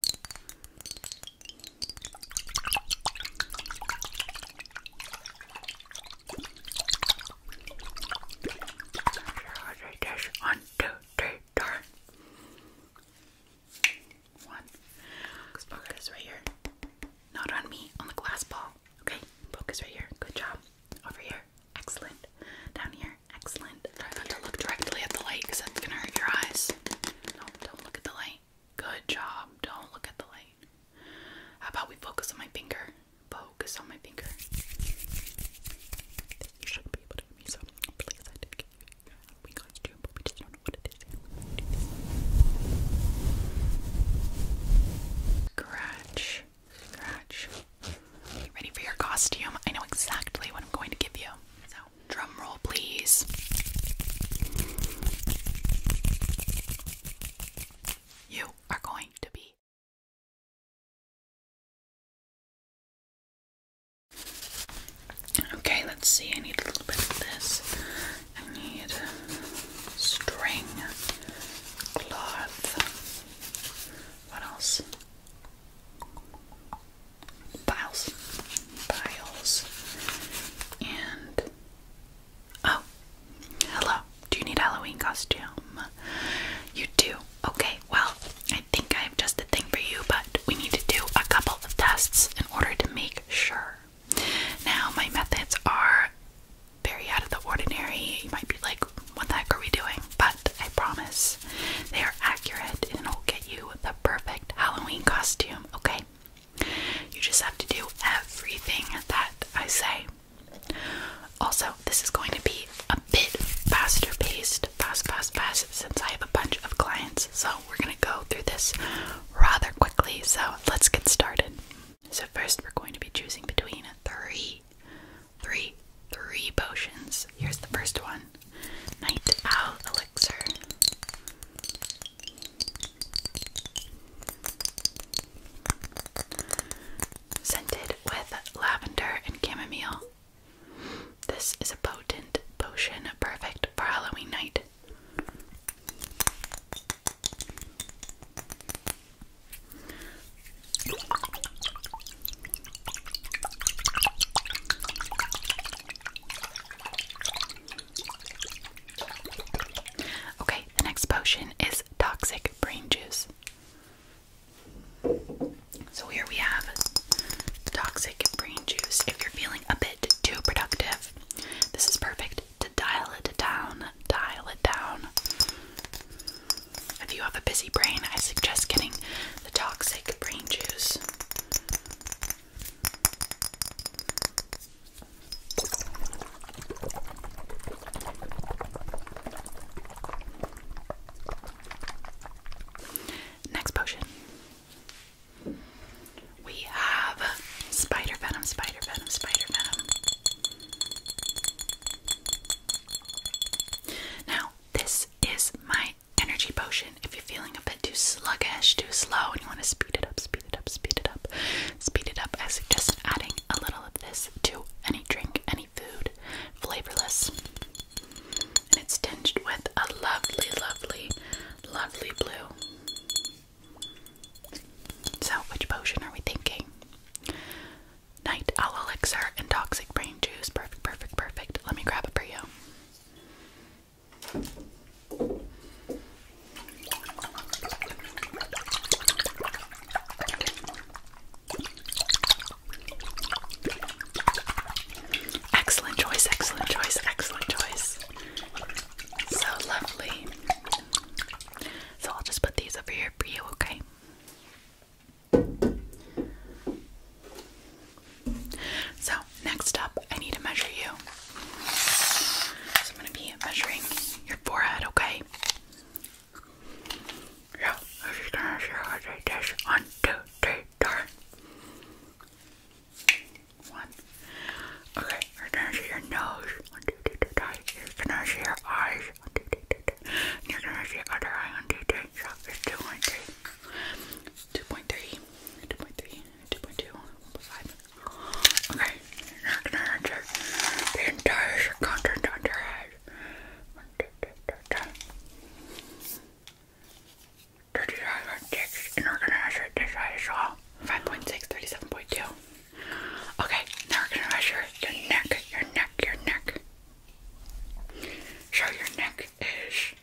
One, two, three, One. Focus right here. Not on me, on the glass ball. Okay, focus right here. Good job. Over here. Excellent. Down here. Excellent. Try not to look directly at the light because that's going to hurt your eyes. No, don't look at the light. Good job. Don't look at the light. How about we focus on my finger? Focus on my finger. You shouldn't be able to hear me, so please, I did we got to do, but we just don't know what it is. Scratch. Scratch. Ready for your costume? I know exactly what I'm going to give you. So Drum roll, please. You are going to be Okay, let's see. I need a little bit of this. I need string, cloth. What else? Biles. Biles. And oh, hello. Do you need Halloween costume? You do. Okay. Well, I think I have just the thing for you, but we need to do a couple of tests in order to make sure. Now, my methods are very out of the ordinary. You might be like, what the heck are we doing? But I promise they are accurate and it will get you the perfect Halloween costume okay? You just have to do everything that I say. Also, this is going to be a bit faster paced, fast, fast, fast, since I have a bunch of clients. So, we're going to go through this rather quickly. So, let's get started. So, first, we're going to be choosing between three, three, three potions. Here's the first one Night Owl Elixir. Scented with lavender and chamomile. This is a potent potion perfect for Halloween night. Okay, the next potion is toxic brain juice. So here we have toxic brain juice. If you're feeling a bit too productive, this is perfect to dial it down. Dial it down. If you have a busy brain, I suggest getting the toxic brain juice. Next potion. We have spider venom, spider venom, spider venom. Now, this is my energy potion if you're feeling a bit too sluggish, too slow, and you want to speed it up, speed it up, speed it up, speed it up. I suggest adding a little of this to any drink, any food, flavorless. And it's tinged with a lovely, lovely, lovely blue. So, which potion are we thinking? Night Owl Elixir and Toxic Brain Juice. Perfect, perfect, perfect. Let me grab it for you. Excellent choice, excellent choice, excellent choice. So lovely. So I'll just put these over here for you, okay? So, next up, I need to measure you. So, I'm going to be measuring your forehead, okay? Yeah, I'm just going to measure your heart one, two, three, four. One. Okay, we're gonna see your nose. One, two, three, two, three. You're gonna see your eyes. One, two, three, two, three. And you're gonna see other eye. One, two, three. 2.3. 2.3. 2.2, 1.5. Okay, you're gonna enter the entire circumference on your head. 39.6, and we're gonna measure it this side as 5.6, 37.2. Okay, now we're gonna measure your neck, your neck, your neck. So your neck is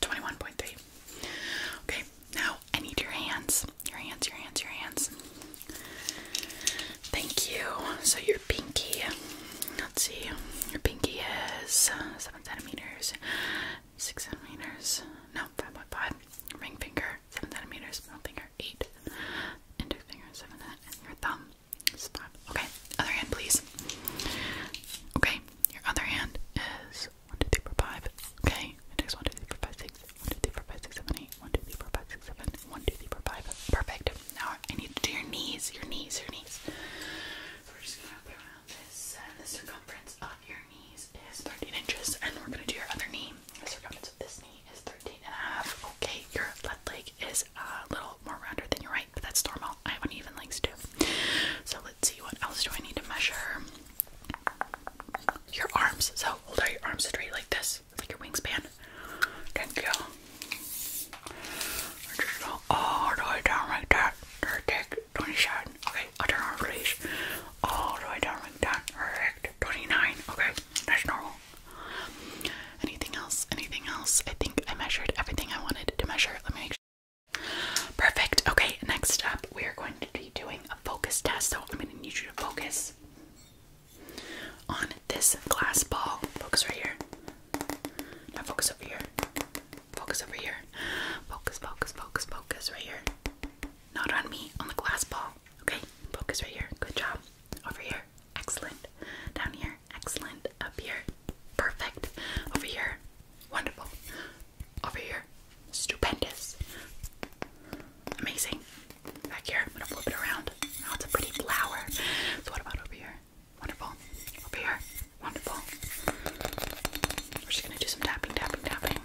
21.3. Okay, now I need your hands. Your hands, your hands, your hands. Thank you. So your pinky, let's see, your pinky is 7 centimeters, 6 centimeters, no, 5.5. Ring finger, 7 centimeters, middle finger, 8. Index finger, 7 your thumb Okay, other hand, please. Okay, your other hand is 1, 2, 3, 4, 5. Okay, next 1, 2, 3, 4, 5, 6. 1, 2, 3, 4, 5, 6, 7, 8. 1, 2, 3, 4, 5, 6, 7. 1, 2, 3, 4, 5. Perfect. Now I need to do your knees, your knees, your knees. We're just going to wrap around this, and uh, the circumference of your knees is 13 inches, and we're going to do your other knee. The circumference of this knee is 13 and a half. Okay, your left leg is a little more rounder than your right, but that's normal. I haven't even like So let's see what else do I need to measure. Your arms. So hold your arms straight like this, like your wingspan. Thank you. I just go all the way down 27. Okay, other arm please. All the way down like that. Perfect. 29. Okay, that's normal. Anything else? Anything else? I think I measured everything I wanted to measure. Let me Perfect. Okay, next up, we are going to be doing a focus test. So I'm going to need you to focus on this glass ball. Focus right here. Now focus over here. Focus over here. Focus, focus, focus, focus right here. Not on me, on the glass ball. Okay, focus right here. Good job. Over here. Excellent. Down here. Excellent. Up here. Perfect. Over here. Wonderful. Over here, stupendous, amazing. Back here, I'm gonna flip it around. Now oh, it's a pretty flower. So what about over here? Wonderful. Over here, wonderful. We're just gonna do some tapping, tapping, tapping.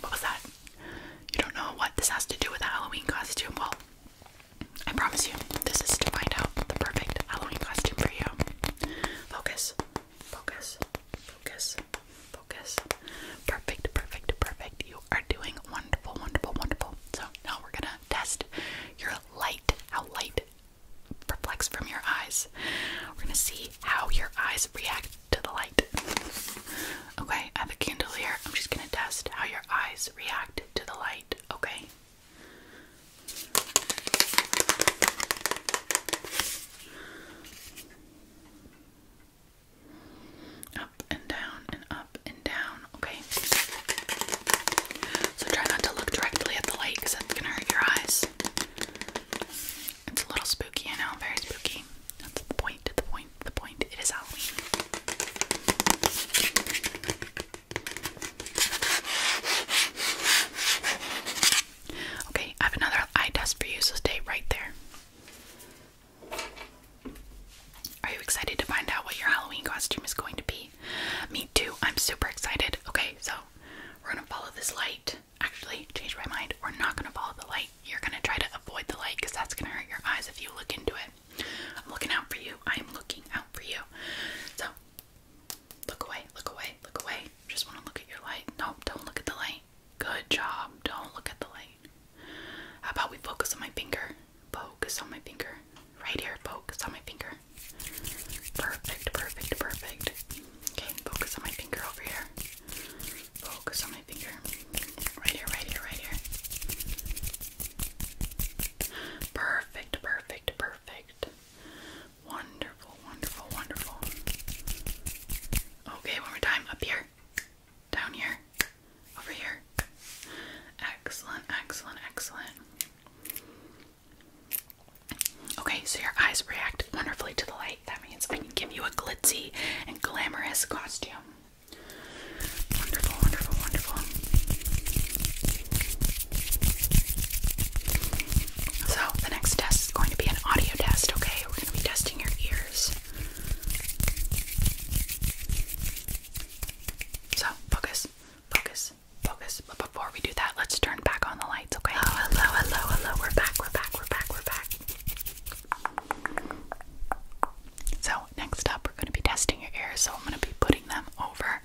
What was that? You don't know what this has to do with a Halloween costume? Well, I promise you, this is to find out the perfect Halloween costume for you. Focus. Focus. Focus. Focus. Perfect, perfect, perfect. You are doing wonderful, wonderful, wonderful. So now we're gonna test your light, how light reflects from your eyes. We're gonna see how your eyes react to the light. Okay, I have a candle here. I'm just gonna test how your eyes react to the light, okay? Up and down and up and down. Okay. So try not to look directly at the light because that's going to hurt your eyes. It's a little spooky, I know. Very spooky. That's the point. The point. The point. It is Halloween. Okay, I have another eye test for you, so stay right there. Are you excited to find out what your Halloween costume is going to be? Me too, I'm super excited. Okay, so we're gonna follow this light. Actually, change my mind. We're not gonna follow the light. You're gonna try to avoid the light because that's gonna hurt your eyes if you look into it. I'm looking out for you. I am looking out for you. So Look away, look away, look away. Just want to look at your light. No, don't look at the light. Good job. Don't look at the light. How about we focus on my finger? Focus on my finger. Right here, focus on my finger. Perfect, perfect, perfect. Okay, focus on my finger over here. Focus on my finger. Right here, right here, right here. Perfect, perfect, perfect. Wonderful, wonderful, wonderful. Okay, one more time. Up here, down here, over here. Excellent, excellent, excellent. Okay, so your eyes react wonderfully to the light. That means I can give you a glitzy and glamorous costume. Wonderful, wonderful, wonderful. So, the next test is going to be an audio test, okay? We're going to be testing your ears. So, focus, focus, focus. But before we do that, let's turn back on the lights, okay? Oh, hello, hello, hello. We're back, we're back, we're back, we're back. So, next up, we're going to be testing your ears. So, I'm going to be putting them over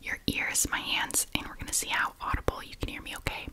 your ears, my hands, and we're going to see how audible you can hear me, okay?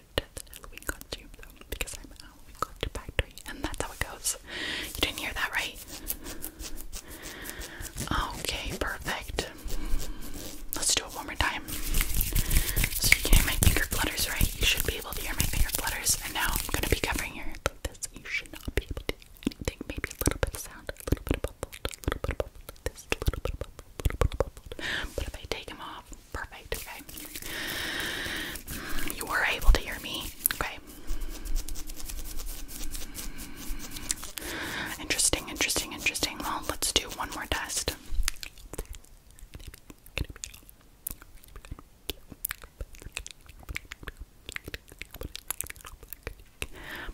ordered the Halloween because I'm a Halloween costume factory, and that's how it goes. You didn't hear that, right? Okay, perfect. Let's do it one more time. So you can hear my finger flutters, right? You should be able to hear my finger flutters, and now I'm gonna be covering your like this. You should not be able to anything. Maybe a little bit of sound, a little bit of bubble, a little bit of bubble like this, a little bit of bubble. But if I take them off, perfect, okay? You were able to hear me, okay? Interesting, interesting, interesting. Well, let's do one more test.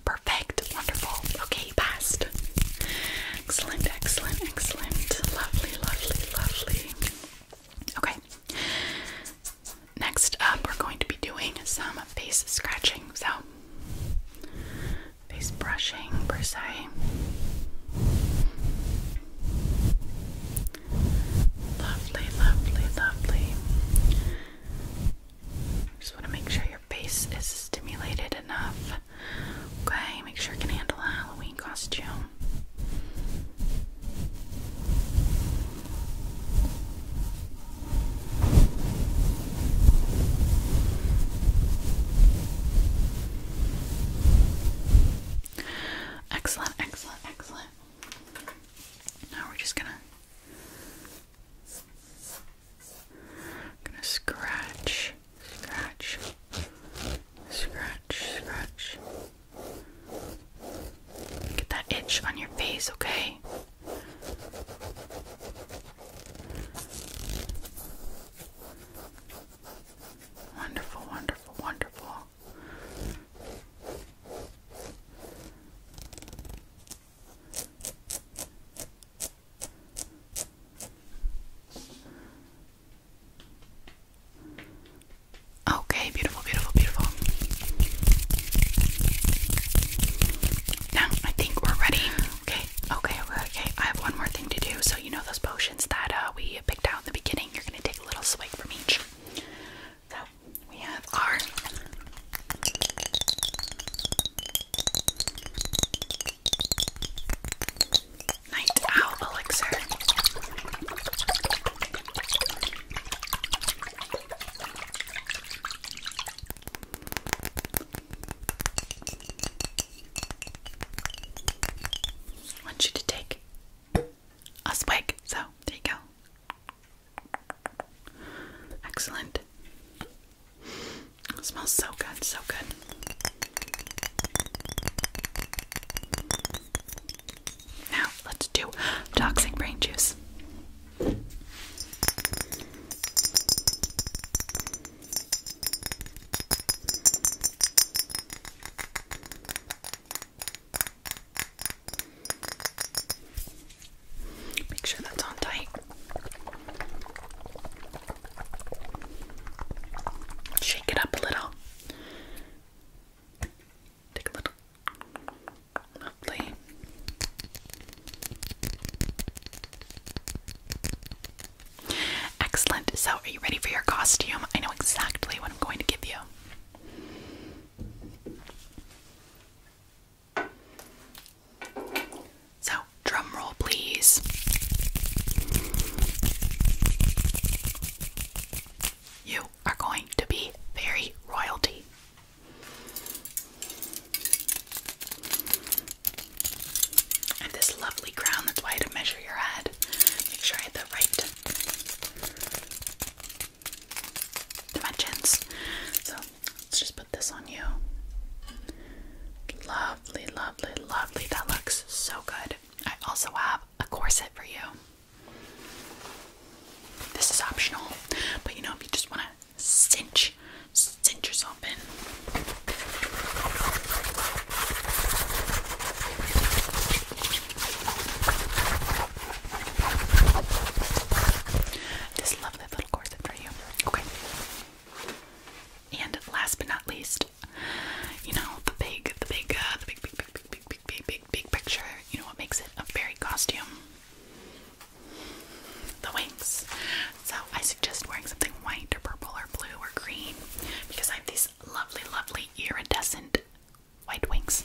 Perfect, wonderful. Okay, you passed. Excellent, excellent, excellent. Lovely, lovely, lovely. Okay. Next up, we're going to be doing some face scratching. So, face brushing per se. Lovely, lovely, lovely. Just want to make sure your face is stimulated enough Okay, make sure you can handle a Halloween costume. Excellent, excellent, excellent. Now we're just gonna gonna scratch Scratch. Scratch, scratch. Get that itch on your face, okay? Wonderful, wonderful, wonderful. Okay, beautiful, beautiful, beautiful. Now I think we're ready. Okay, okay, okay. I have one more thing to do. So, you know those potions that uh, we picked out in the beginning? You're going to take a little swig from each. So, we have our. Night Owl Elixir. want you to take a swig, so there you go. Excellent. It smells so good, so good. Now let's do toxic brain juice. Make sure that's on tight. Shake it up a little. Take a little. Lovely. Excellent. So, are you ready for your costume? I know exactly what I'm going to give you. So, drum roll, please. You are going to be very royalty. I this lovely crown, that's why I had to measure your head. Make sure I have the right dimensions. So let's just put this on you. Lovely, lovely, lovely. That looks so good. I also have a corset for you. This is optional, but you know, if you just want to cinch, cinch yourself in. This lovely little corset for you. Okay. And last but not least, you know the big the big uh, the big big big big big big big picture. You know what makes it a fairy costume? The wings. So I suggest wearing something white or purple or blue or green because I have these lovely, lovely iridescent white wings.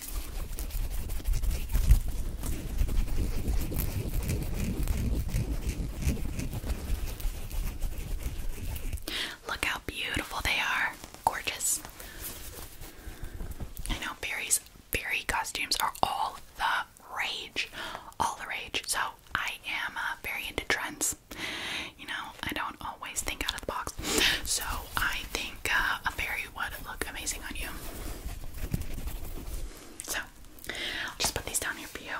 Look how beautiful they are. Gorgeous. I know Barry's fairy costumes are all the rage. All the rage. So I am uh, very into trends. You know, I don't always think out of the box. So I think uh, a fairy would look amazing on you. So I'll just put these down here for you.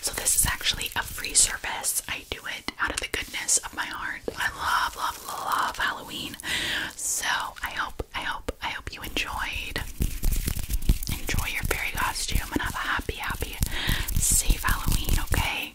So this is actually a free service. I do it out of the goodness of my heart. I love, love, love Halloween. So I hope, I hope, I hope you enjoyed. Enjoy your fairy costume and have a happy, happy, safe Halloween, okay?